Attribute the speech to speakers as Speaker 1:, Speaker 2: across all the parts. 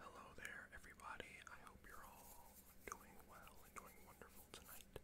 Speaker 1: Hello there, everybody. I hope you're all doing well and wonderful tonight.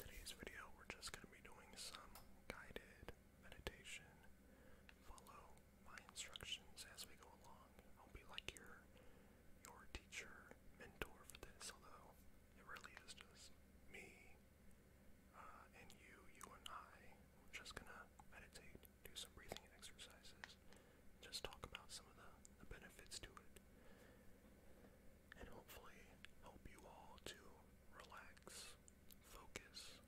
Speaker 1: Today's video, we're just going to be doing some guided meditation. Follow my instructions as we go along. I'll be like your your teacher, mentor for this, although it really is just me uh, and you, you and I. We're just gonna meditate do some breathing exercises, just talk about some of the, benefits to it, and hopefully help you all to relax, focus,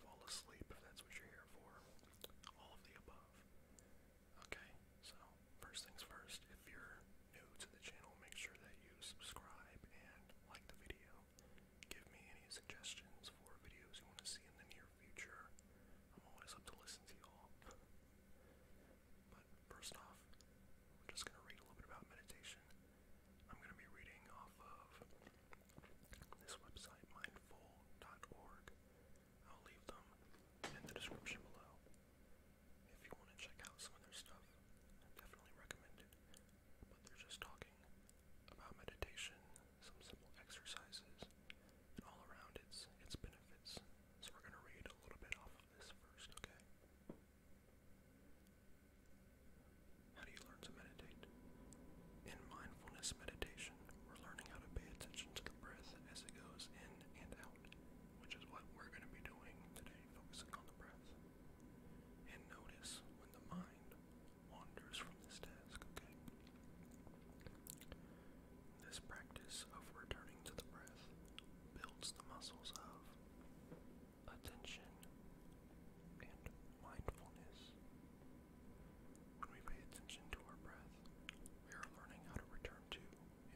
Speaker 1: fall asleep if that's what you're here for, all of the above. Okay, so first things first, if you're new to the channel, make sure that you subscribe and like the video. Give me any suggestions for videos you want to see in the near future. I'm always up to listen to y'all. But first off, we're just gonna read a little bit about meditation. I'm gonna be reading off of this website, mindful.org. I'll leave them in the description below. If you want to check out some of their stuff, definitely recommend it. But they're just talking about meditation some simple exercises, all around its its benefits. So we're gonna read a little bit off of this first, okay? How do you learn to meditate? In mindfulness meditation, we're learning how to pay attention to the breath as it goes in and out, which is what we're going to be doing today, focusing on the breath. And notice when the mind wanders from this task, okay? This practice of returning to the breath builds the muscles of attention and mindfulness. When we pay attention to our breath, we are learning how to return to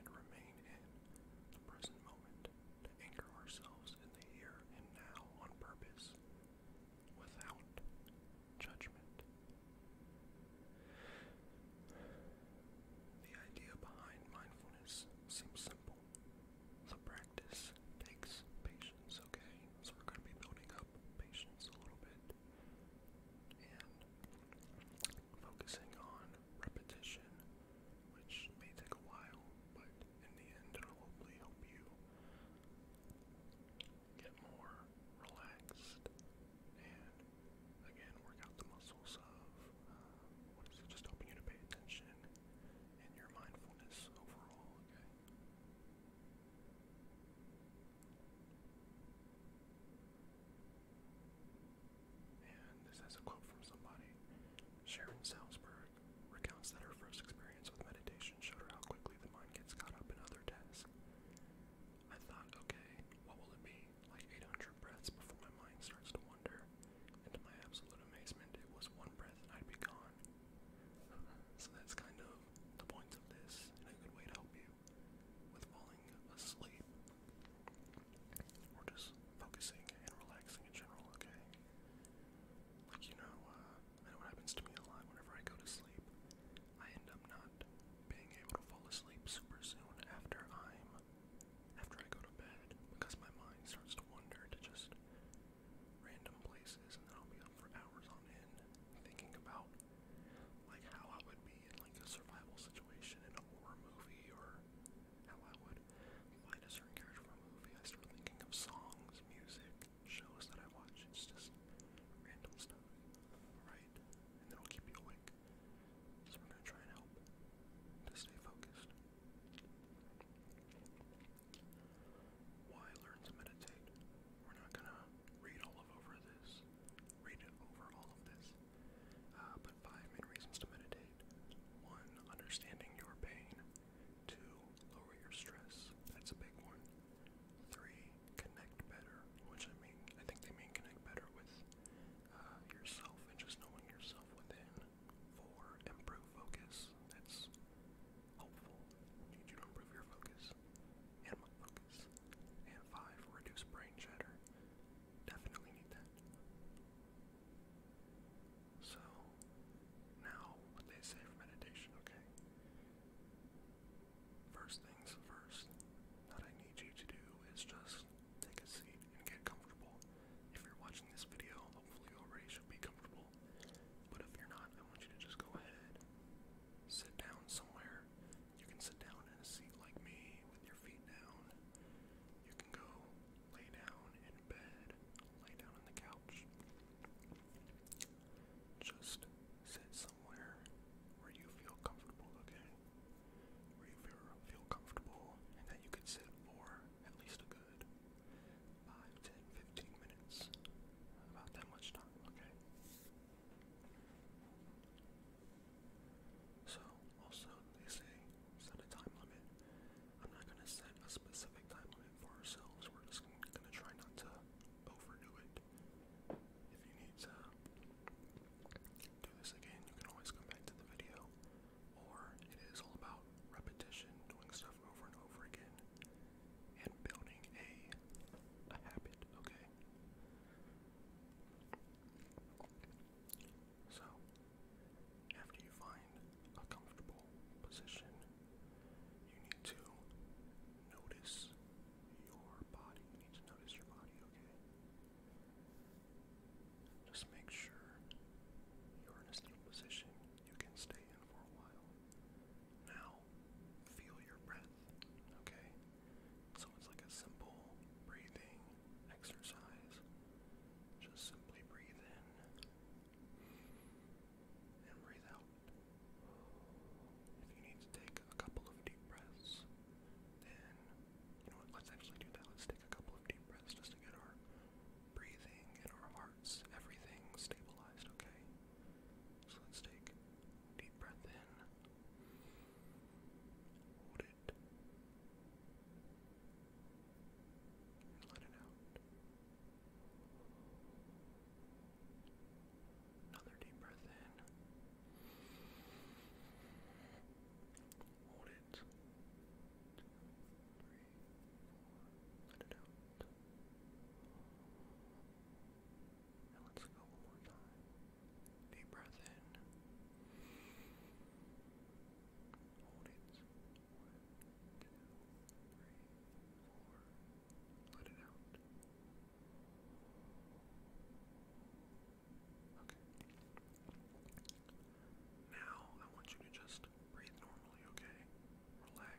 Speaker 1: and remain in the present moment, to anchor ourselves in the here and now on purpose, without judgment. The idea behind mindfulness seems simple. The practice takes patience, okay? So we're going to be building up patience a little bit and focusing on repetition, which may take a while, but in the end, it'll hopefully help you get more relaxed and again work out the muscles of uh, Just helping you to pay attention and your mindfulness overall. Okay. And this has a quote from somebody. Sharon Salzberg recounts that her first experience with meditation showed her how quickly the mind gets caught up in other tasks. I thought, okay, what will it be? Like 800 breaths before my mind starts to wonder. And to my absolute amazement, it was one breath and I'd be gone. So that's kind of the point of this, and a good way to help you with falling asleep or just focusing and relaxing in general, okay? Like, you know, uh, I know what happens to me a lot whenever I go to sleep. I end up not being able to fall asleep super soon after I'm after I go to bed because my mind starts to wander to just random places and then I'll be up for hours on end thinking about like how I would be in like a survival situation in a horror movie or how I would find a certain character from a movie. I start thinking of songs, music, shows that I watch. It's just random stuff, right? And it'll keep you awake. So we're gonna try and help to stay focused. Why learn to meditate? We're not gonna read all over this, read over all of this. Uh, but five main reasons to meditate: one, understanding your pain; two, lower your stress. That's a big one. Three, connect better, which I mean, I think they mean connect better with uh, yourself and just knowing yourself within for improved focus. That's helpful. You need you to improve your focus and my focus. And five, reduce brain chatter. Definitely need that. So, now what they say for meditation, okay? First things first, what I need you to do is just take a seat and get comfortable. If you're watching this video, hopefully you already should be comfortable. But if you're not, I want you to just go ahead, sit down somewhere. You can sit down in a seat like me with your feet down. You can go lay down in bed, lay down on the couch. Just sit where you feel comfortable, okay? Where you feel, feel comfortable and that you could sit for at least a good 5, minutes. About that much time, okay? So, also, they say set a time limit. I'm not going to set a specific time limit for ourselves. We're just going to try not to overdo it. If you need to do this again, you can always come back to the video. Or it is all about repetition, doing stuff over and over again, and building a a habit, okay? So after you find a comfortable position, you need to notice your body. You need to notice your body, okay? Just make sure you're in a stable position you can stay in for a while. Now, feel your breath, okay? So it's like a simple breathing exercise. Just simply breathe in and breathe out. If you need to take a couple of deep breaths, then you know what? Let's actually do that. Let's take a couple of deep breaths just to get our breathing and our hearts, everything stabilized, okay? So let's take deep breath in. Hold it. And let it out. Another deep breath in. Hold it. Two, three, four. Let it out. And let's go one more time. Deep breath in. Hold it. One, two, three, four. Let it out. Okay. Now I want you to just breathe normally, okay? Relax,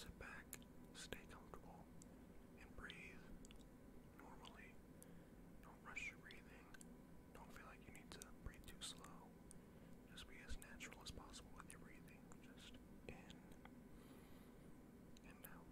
Speaker 1: sit back, stay comfortable, and breathe normally. Don't rush your breathing. Don't feel like you need to breathe too slow. Just be as natural as possible with your breathing. Just in and out.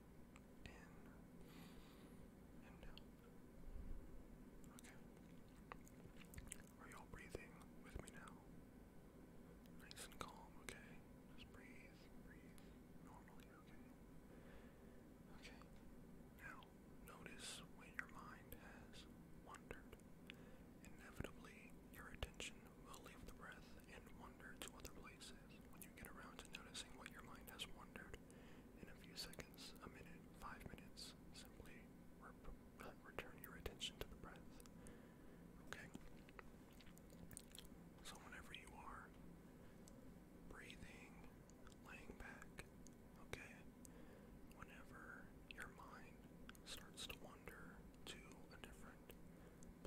Speaker 1: in and out. Okay. Are y'all breathing with me now? Nice and calm, okay? Just breathe, breathe normally, okay? Okay. Now, notice when your mind has wandered. Inevitably, your attention will leave the breath and wander to other places. When you get around to noticing what your mind has wandered, in a few seconds, a minute, five minutes, simply uh, return your attention to the breath. Okay? So, whenever you are breathing, laying back, okay? Whenever your mind starts to wander to a different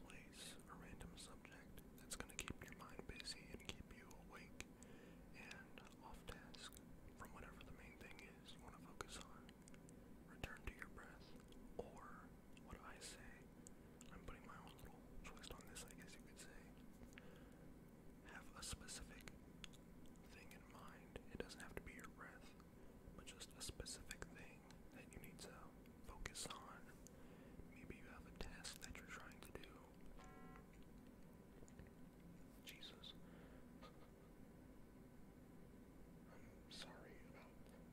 Speaker 1: place, a random subject that's going to keep your mind busy and keep you awake and off task from whatever the main thing is you want to focus on. Return to your breath, or what I say, I'm putting my own little twist on this, I guess you could say. Have a specific thing in mind. It doesn't have to be your breath, but just a specific thing that you need to focus on. Maybe you have a task that you're trying to do, Jesus. I'm sorry about that.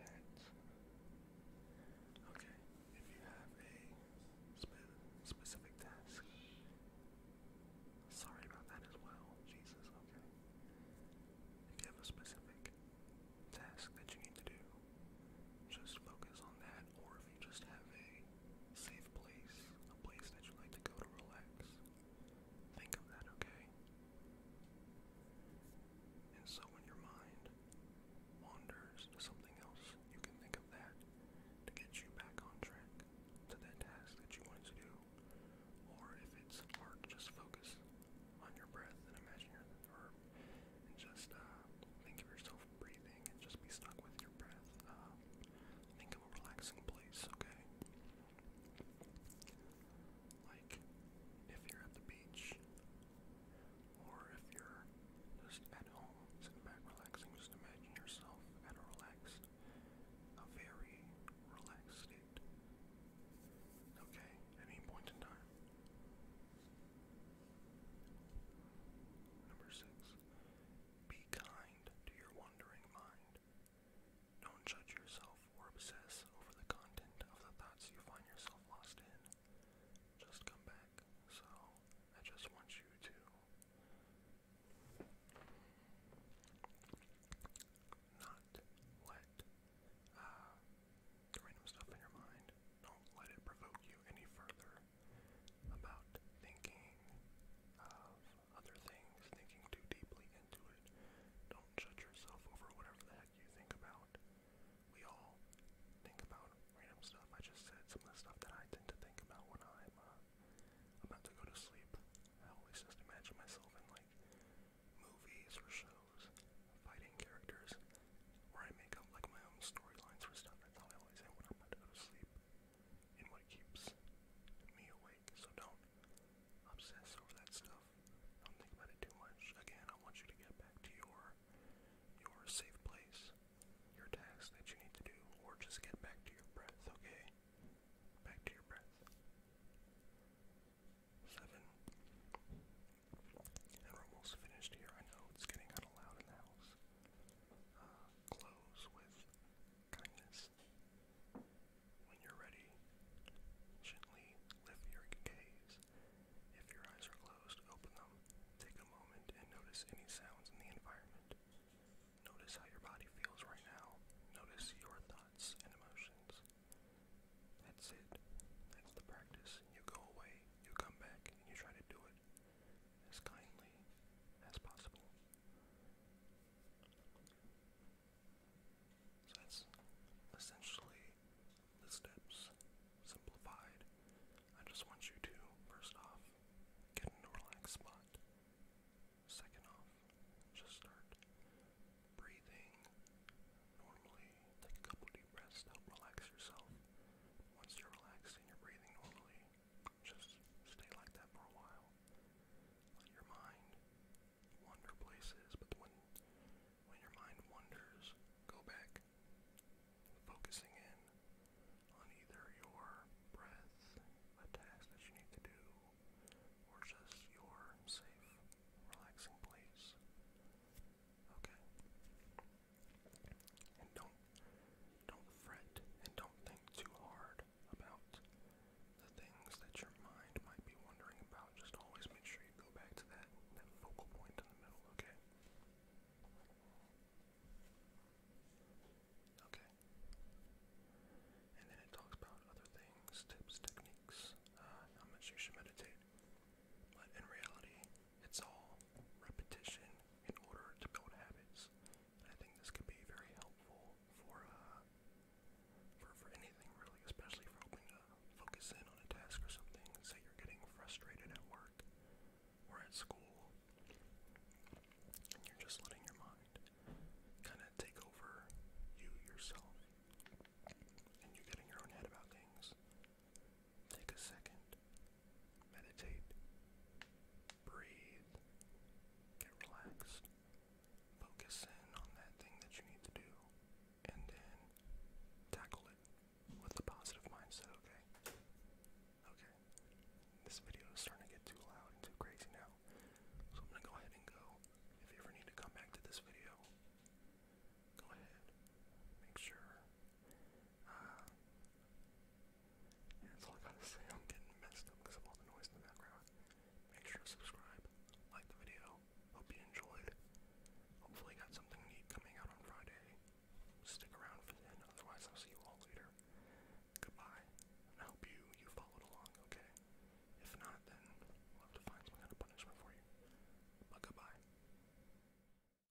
Speaker 1: Okay, if you have a specific task, sorry about that as well. Jesus, okay. If you have a specific task that you need to do, just focus on that, or if you just have a safe place, a place that you like to go to relax, think of that, okay? And so when your mind wanders to something else, you can think of that to get you back on track to that task that you wanted to do. Or if it's hard, just focus on your breath and imagine or and just uh, think of yourself breathing and just be stuck with your breath. Uh, think of a relaxing place, okay? Like if you're at the beach or if you're just at home, sitting back relaxing, just imagine yourself at a relaxed, a very relaxed state. Okay, at any point in time. Number six, be kind to your wandering mind. Don't judge yourself or obsess over the content of the thoughts you find yourself lost in. Just come back. So, I just want you to. Not let uh, random stuff in your mind, don't let it provoke you any further about thinking of other things, thinking too deeply into it. Don't judge yourself over whatever the heck you think about. We all think about random stuff. I just said some of the stuff that I tend to think about when I'm uh, about to go to sleep. I always just imagine myself in like movies or shows, fighting characters where I make up like my own storylines for stuff. That's how I always am when I'm about to go to sleep, and what keeps me awake. So don't obsess over that stuff. Don't think about it too much. Again, I want you to get back to your your safe place, your tasks that you need to do, or just get back to your breath. Okay, back to your breath. Seven. And we're almost finished here. I know it's getting kind of loud in the house. Uh, close with kindness. When you're ready, gently lift your gaze. If your eyes are closed, open them. Take a moment and notice any sounds in the environment. Notice how your body feels right now. Notice your thoughts and emotions. That's it. That's the practice. You go away, you come back, you try to do it as kindly as possible. So that's essentially the steps simplified. I just want you to, first off, get in a relaxed spot. Second off, just start breathing normally. Take a couple deep breaths relax yourself. Once you're relaxed and you're breathing normally, just stay like that for a while. Let your mind wander places, but when when your mind wanders, go back, focusing in on either your breath, a task that you need to do, or just your safe, relaxing place. Okay. And don't don't fret and don't think too hard about the things that your mind might be wondering about. Just always make sure you go back to that that focal point in the middle, okay? Okay. And then it talks about other things, tips, techniques, how much you should meditate. But in reality, it's all repetition in order to build habits. I think this could be very helpful for uh, for anything really, especially for helping to focus in on a task or something. Say you're getting frustrated at work or at school, and you're just letting your mind kind of take over you yourself, and you're getting your own head about things. Take a second, meditate, breathe, get relaxed, focus in on that thing that you need to do, and then tackle it with a positive mindset, okay? Okay, this video is starting to get too loud and too crazy now, so I'm gonna go ahead and go. If you ever need to come back to this video, go ahead. Make sure that's all I gotta say. I'm getting messed up because of all the noise in the background. Make sure to subscribe, like the video. Hope you enjoyed. Hopefully, got something neat coming out on Friday. Stick around for then. Otherwise, I'll see you all later. Goodbye. I hope you you followed along. Okay. If not, then we'll have to find some kind of punishment for you. But goodbye.